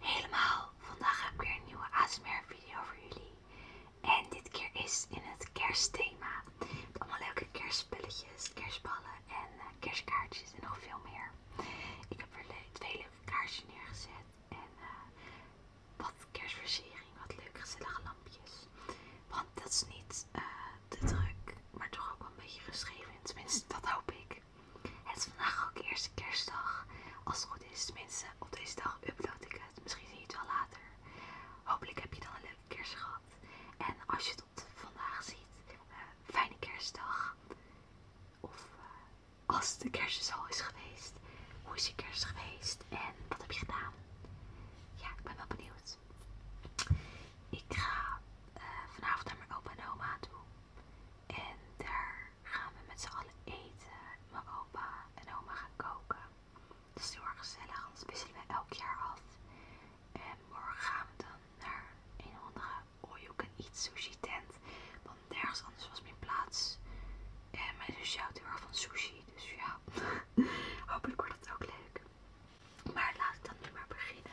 Helemaal, vandaag heb ik weer een nieuwe ASMR video voor jullie. En dit keer is in het kerstthema. allemaal leuke kerstspulletjes, kerstballen en eh, kerstkaartjes en nog veel meer. Ik heb er twee leuke kaartjes neergezet en eh, wat kerstversiering, wat leuke gezellige lampjes. Want dat is niet eh, te druk, maar toch ook wel een beetje geschreven. Tenminste, dat hoop ik. Het is vandaag ook eerste kerstdag. Als het goed is, tenminste, op deze dag upload ik het. Misschien zie je het wel later. Hopelijk heb je dan een leuke kerst gehad. En als je het vandaag ziet, eh, fijne kerstdag. Of eh, als de kerst is dus al is geweest, hoe is je kerst geweest en wat heb je gedaan? Ja, ik ben wel benieuwd. Ik ga eh, vanavond naar mijn opa en oma toe. En daar gaan we met z'n allen eten. Mijn opa en oma gaan koken. Het is heel erg gezellig, anders wisselen we elk jaar af. En morgen gaan we dan naar een andere all you eat sushi tent. Want nergens anders was mijn plaats. En mijn zusje houdt heel erg van sushi, dus ja. Hopelijk wordt het ook leuk. Maar laat ik dan nu maar beginnen.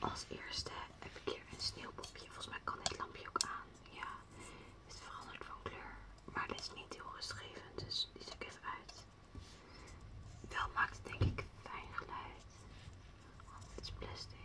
Als eerste heb ik hier een sneeuwpopje. Volgens mij kan dit lampje ook aan. Ja, het veranderd van kleur. Maar dit is niet heel rustgevend, dus die zet ik even uit. Wel maakt het denk ik fijn geluid. Want het is plastic.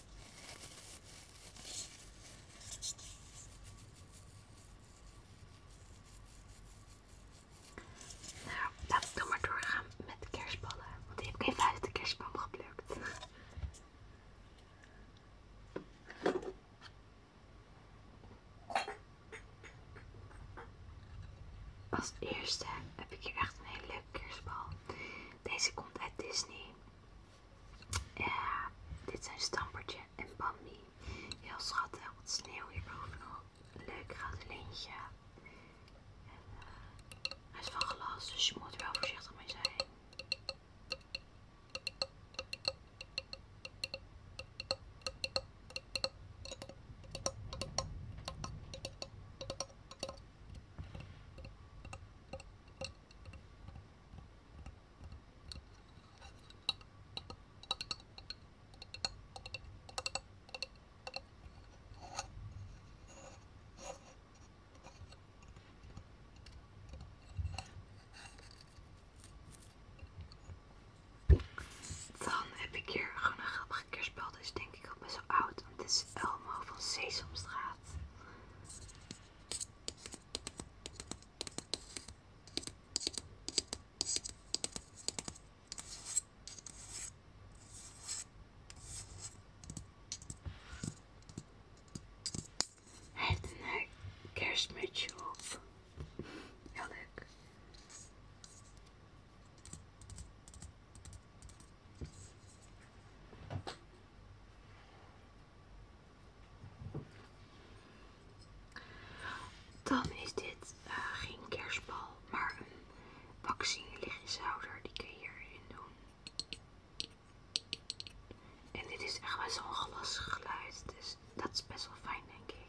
Nou, laat ik dan maar doorgaan met de kerstballen. Want die heb ik even uit de kerstbal geplukt. Als eerste heb ik hier echt een hele leuke kerstbal. Deze komt uit Disney. Ja, dit zijn Stampertje en Bambi. Heel schattig, wat sneeuw hierboven Leuk gratulintje. En, uh, hij is van glas, dus je moet er wel voorzichtig mee zijn. Dan heb ik hier gewoon een grappig kerstspel. Dus denk ik ook best wel oud. Want dit is Elmo van Sesamstraat gaat. Hij heeft een eh, kerstmutsje op. ja leuk. Dan is dit eh, geen kerstbal, maar een vaccinelichtzouder. Die kun je hierin doen. En dit is echt wel zo'n glas geluid, dus dat is best wel fijn, denk ik.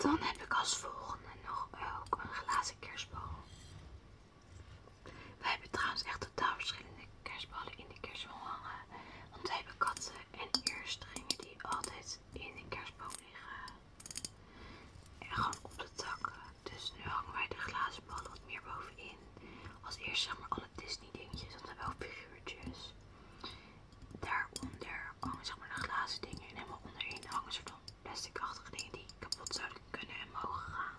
Dan heb ik als volgende nog ook een glazen kerstbal. Wij hebben trouwens echt totaal verschillende kerstballen in de kerstboom hangen. Want wij hebben katten en eerstringen die altijd in de kerstboom liggen. En gewoon op de takken. Dus nu hangen wij de glazen ballen wat meer bovenin. Als eerst zeg maar alle Disney dingetjes, dat zijn wel figuurtjes. Daaronder hangen zeg maar de glazen dingen en helemaal onderin hangen ze van plasticachtige dingen die kapot zouden kunnen en mogen gaan.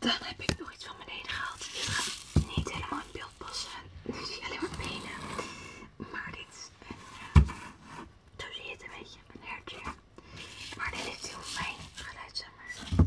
Dan heb ik nog iets van beneden gehaald. Die gaat niet helemaal in beeld passen. Nu zie je alleen maar benen. Maar dit is een, eh, zo zie je het een beetje, een hertje. Maar dit is heel fijn geluid, zeg maar.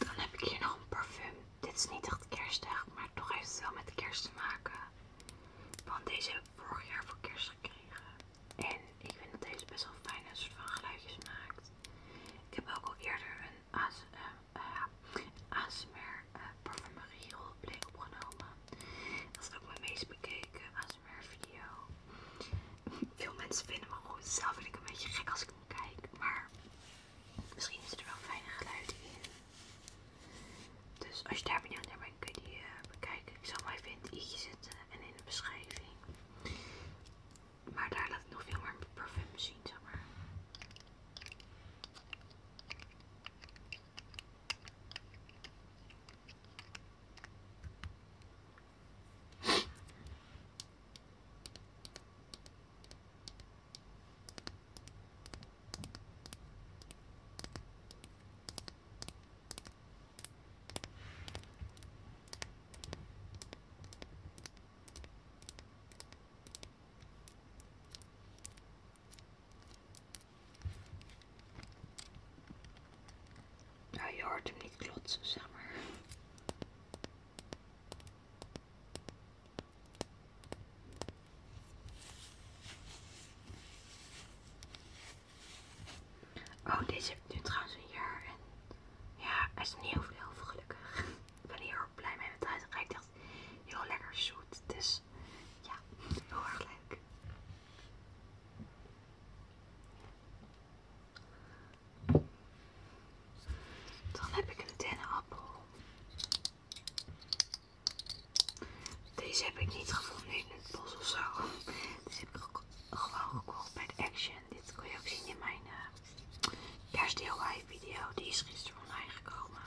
Dan heb ik hier nog een parfum. Dit is niet echt kerstig, maar toch heeft het wel met kerst te maken. Want deze vorig jaar voor kerst gekregen. En ik vind dat deze best wel fijne soort van geluidjes maakt. Ik heb ook al eerder een ASMR eh, eh, uh, eh, parfumerie opgenomen. Dat is ook mijn meest bekeken ASMR video. Veel mensen vinden me goed. Zelf vind ik een beetje gek als ik hem kijk. Maar misschien is er wel fijne geluiden in. Dus als je daar benieuwd naar bent, kun je eh, bekijken. Ik zal maar even in het i'tje zetten en in de beschrijving. Maar daar laat ik nog veel meer parfum zien, zeg maar. Ja, nou, je hoort hem niet klotsen, zeg maar. Oh, deze heb nu trouwens een jaar. En ja, hij is niet heel veel gelukkig. Ik ben hier ook blij mee met hij. Het ruikt heel lekker zoet. Dus ja, heel erg leuk. Dan heb ik een dennenappel. Deze heb ik niet gevonden in het bos of zo. Deze heb ik ook gewoon gekocht bij de Action. Dit kon je ook zien in mijn uh, video. Die is gisteren online gekomen.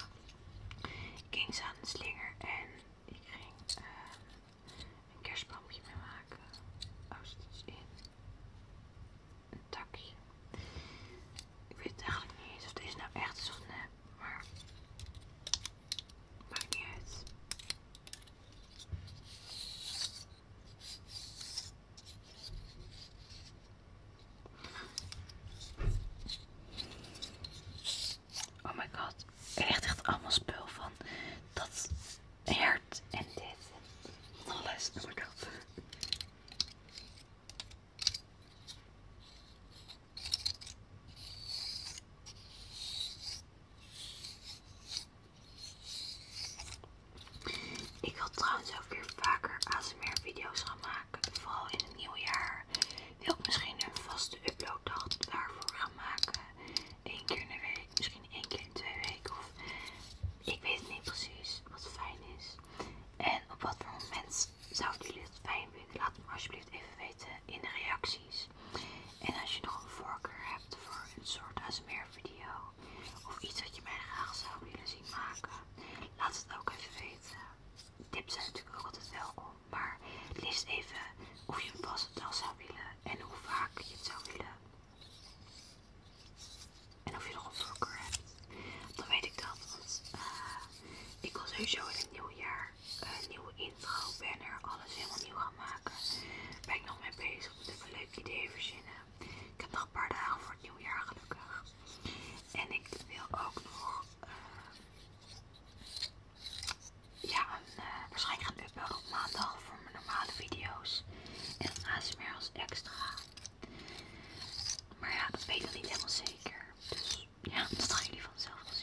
Ik ging aan de slinger en ik ging eh, een kerstboompje mee maken. Oh, zit iets in. Een takje. Ik weet eigenlijk niet of deze nou echt is of nep maakt niet Oh my god, er ligt echt allemaal spul van dat hert en dit en alles. Oh ik wil trouwens ook weer vaker ASMR video's gaan maken. Vooral in het nieuwe jaar. Wil misschien een vaste uploaddag daarvoor gaan maken. Eén keer in de week, misschien één keer in twee weken. Of ik weet het niet precies wat fijn is. En op wat voor moment zou jullie het fijn vinden? Laat me alsjeblieft even weten in de reacties. En als je nog een voorkeur hebt voor een soort ASMR video of iets wat je mij graag zou willen zien maken, laat het ook even weten. Tips zijn natuurlijk ook altijd welkom, maar lees even of je pas het wel zou willen en hoe vaak je het zou willen. En of je nog een voorkeur hebt. Dan weet ik dat, want eh, ik wil sowieso in het nieuwe jaar een eh, nieuwe intro, banner, alles helemaal nieuw gaan maken. Daar ben ik nog mee bezig, moet even een leuk idee verzinnen. Ik heb nog een paar dagen voor het nieuwe jaar gelukkig. En ik wil ook nog eh, ja, een, waarschijnlijk een uploaden op maandag voor mijn normale video's. En ASMR als extra. Maar ja, dat weet ik niet helemaal zeker. Dus ja, dat gaan jullie vanzelf gezien.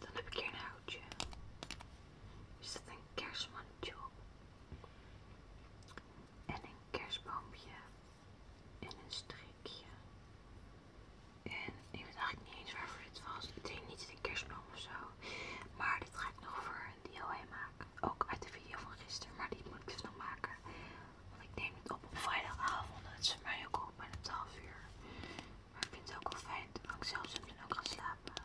Dan heb ik hier een houtje. Is dat een kerstmandje En een kerstboompje. En een strikje. En ik weet eigenlijk niet eens waarvoor dit was. Ik denk niet een kerstboom of zo. Maar dit ga ik nog voor een DIY maken. Ook uit de video van gisteren. Maar die moet ik dus nog maken. Want ik neem het op op vrijdagavond. Het is mij ook al bijna 12 uur. Maar ik vind het ook wel fijn dat ik zelf soms ook gaan slapen.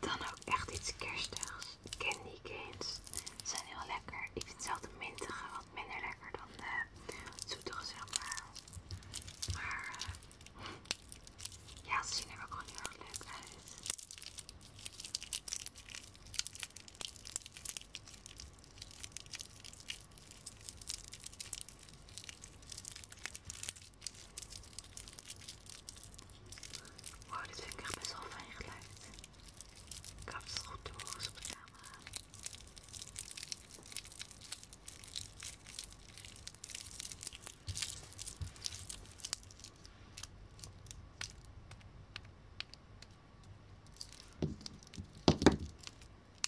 Dan ook echt iets kerstigs. Candy canes zijn heel lekker. Ik vind zelf de mintige wat minder lekker dan de zoetige, zeg maar. Maar eh, ja, ze zien er ook gewoon heel erg leuk uit. Wow, dit vind ik echt best wel fijn geluid. Ik hoop dat het op de camera.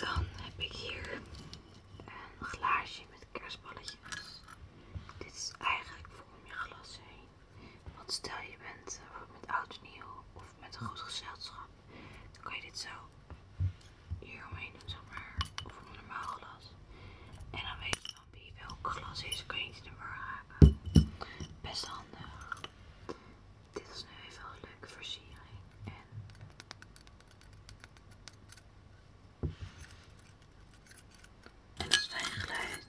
Dan heb ik hier een glaasje met kerstballetjes. Dit is eigenlijk voor om je glas heen. Want stel je bent eh, met oud en nieuw of met een goed gezelschap, dan kan je dit zo hier omheen doen, zeg maar. Of een normaal glas. En dan weet je. Dan wie welk glas is, Kun je niet in de war Best handig. Dit is nu even een leuke versiering. En en dat fijn geluid.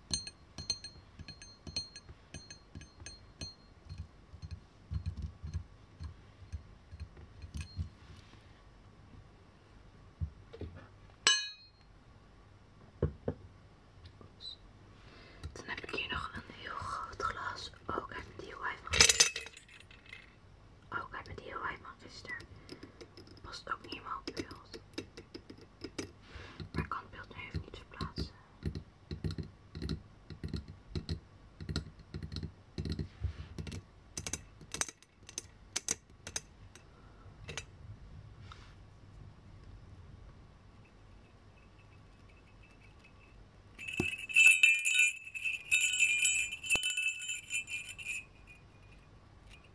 Dan heb ik hier nog een heel groot glas, ook uit mijn DIY van gisteren. Ook uit mijn van gisteren. Past ook niet helemaal ik kan het beeld nu even niet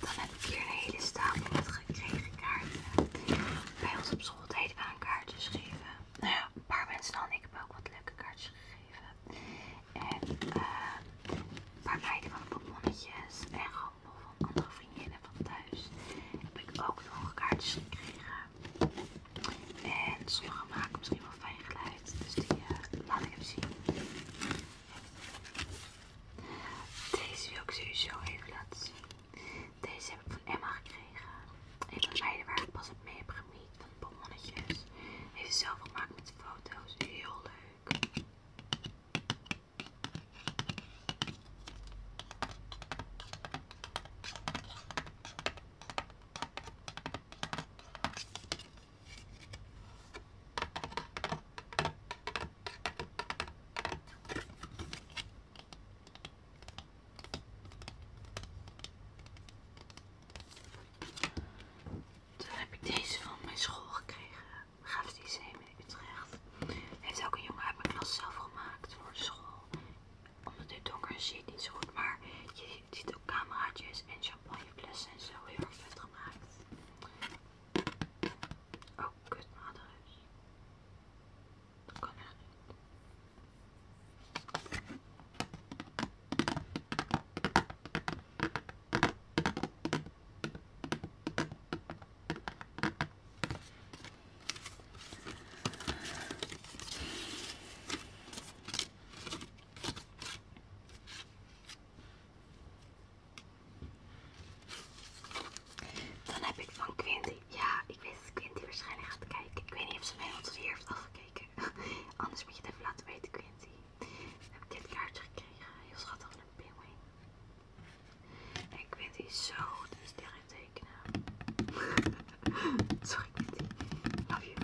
Dan heb ik hier een hele stapel met gekregen kaarten. Bij ons op school deden we aan kaartjes geven. Nou ja, een paar mensen dan. Ik heb ook wat leuke kaartjes gegeven. En een eh, paar meiden van de bonbonnetjes. En gewoon nog van andere vriendinnen van thuis. Heb ik ook nog kaartjes gekregen. En sommige maken misschien wel fijn geluid. Dus die eh, laat ik even zien. Deze wil ik sowieso even laten zien. Deze heb ik van Emma gekregen. Een van de waar ik pas op mee heb gemiet van Hij Heeft zelf gemaakt met foto's. Heel leuk. Dan heb ik deze van mijn school gekregen. Graaf Lyceum in Utrecht. Heeft ook een jongen uit mijn klas zelf gemaakt voor de school. Omdat hij donker ziet niet zo goed, maar je ziet ook cameraatjes en champagneflessen en zo heel erg vet gemaakt. Oh, dan heb ik van Quinty. Ja, ik weet dat Quinty waarschijnlijk gaat kijken. Ik weet niet of ze mij tot hier heeft afgekeken. Anders moet je het even laten weten, Quinty. Dan heb ik dit kaartje gekregen. Heel schattig van een pinguïn. En Quinty is zo de sterren tekenen. Sorry, Quinty. Love you.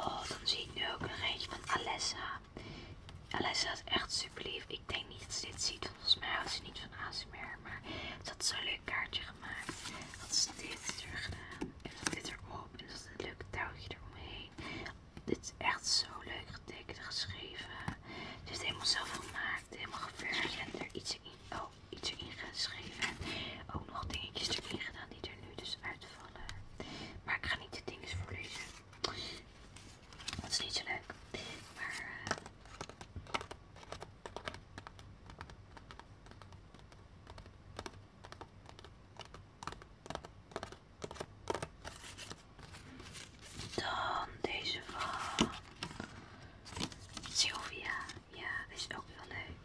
Oh, dan zie ik nu ook een rijtje van Alessa. Alessa is echt super lief. Ik denk niet dat ze dit ziet. Volgens mij houdt ze niet van ASMR. Maar ze is zo'n leuk kaartje gemaakt. Wat ze dit er gedaan. En dat dit er op dus is een leuk touwtje eromheen. Dit is echt zo leuk getekend, geschreven. Het is helemaal zelf gemaakt, helemaal geverfd en er iets in, oh, iets erin geschreven. ook nog dingetjes erin gedaan die er nu dus uitvallen. Maar ik ga niet de dinges voorlezen. Dat is niet zo leuk. Maar. Eh, dan deze van Sylvia. Ja, is ook wel leuk.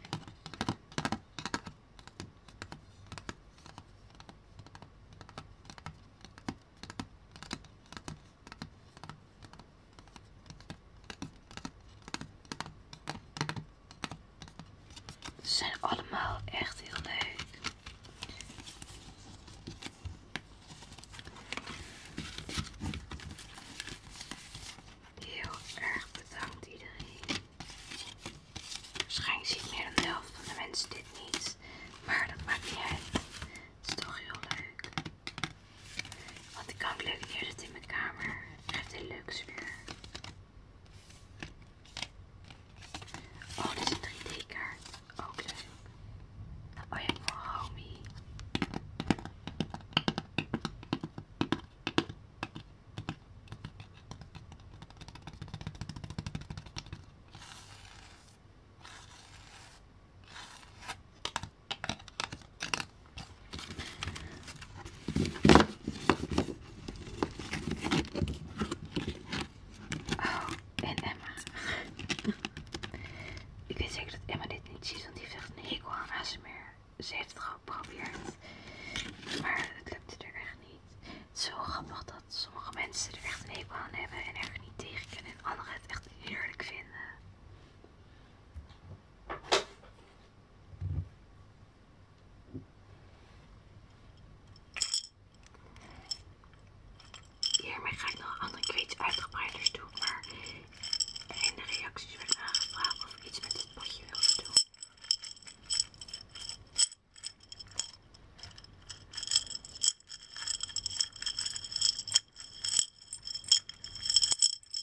Ze zijn allemaal echt heel leuk. Heel erg bedankt iedereen. Waarschijnlijk ziet meer dan de helft van de mensen dit niet. Maar dat maakt niet uit. Het is toch heel leuk. Want ik kan het leuk neerzetten in mijn kamer. echt een leuk sfeer. Oh, dit is een 3D-kaart. Ook Oh ja, Oh, en Emma. Ik weet zeker dat Emma dit niet ziet, want die heeft echt een hekel aan meer. Ze heeft het geprobeerd, maar het lukte er echt niet. Het is zo grappig dat sommige mensen er echt een hekel aan hebben en er niet tegen kunnen en anderen het echt heerlijk vinden. Hiermee ga ik nog andere kwets uitgebreiders doen, maar in de reacties werd aangevraagd of ik iets met het potje wilde doen.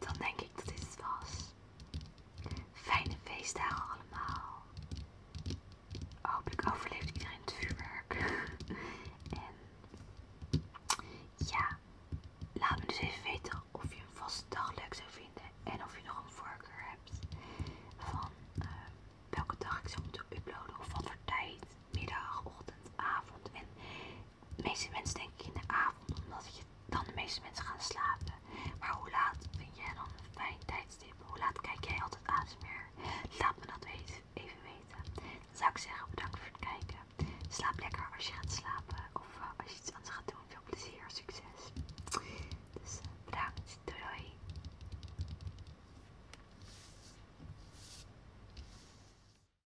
Dan denk ik dat dit het was. Fijne feestdagen allemaal. Hopelijk overleeft iedereen het vuurwerk. en ja, laat me dus even weten of je een vaste dag leuk zou vinden. En of je nog een voorkeur hebt van eh, welke dag ik zou moeten uploaden. Of wat voor tijd, middag, ochtend, avond. En de meeste mensen ik in de avond, omdat je, dan de meeste mensen gaan slapen. Maar hoe laat vind jij dan een fijn tijdstip? Hoe laat kijk jij altijd meer? Laat me dat even weten. Dan zou ik zeggen bedankt voor het kijken. Slaap lekker als je gaat slapen of eh, als je iets anders gaat doen. Veel plezier, succes. Dus eh, bedankt. doei.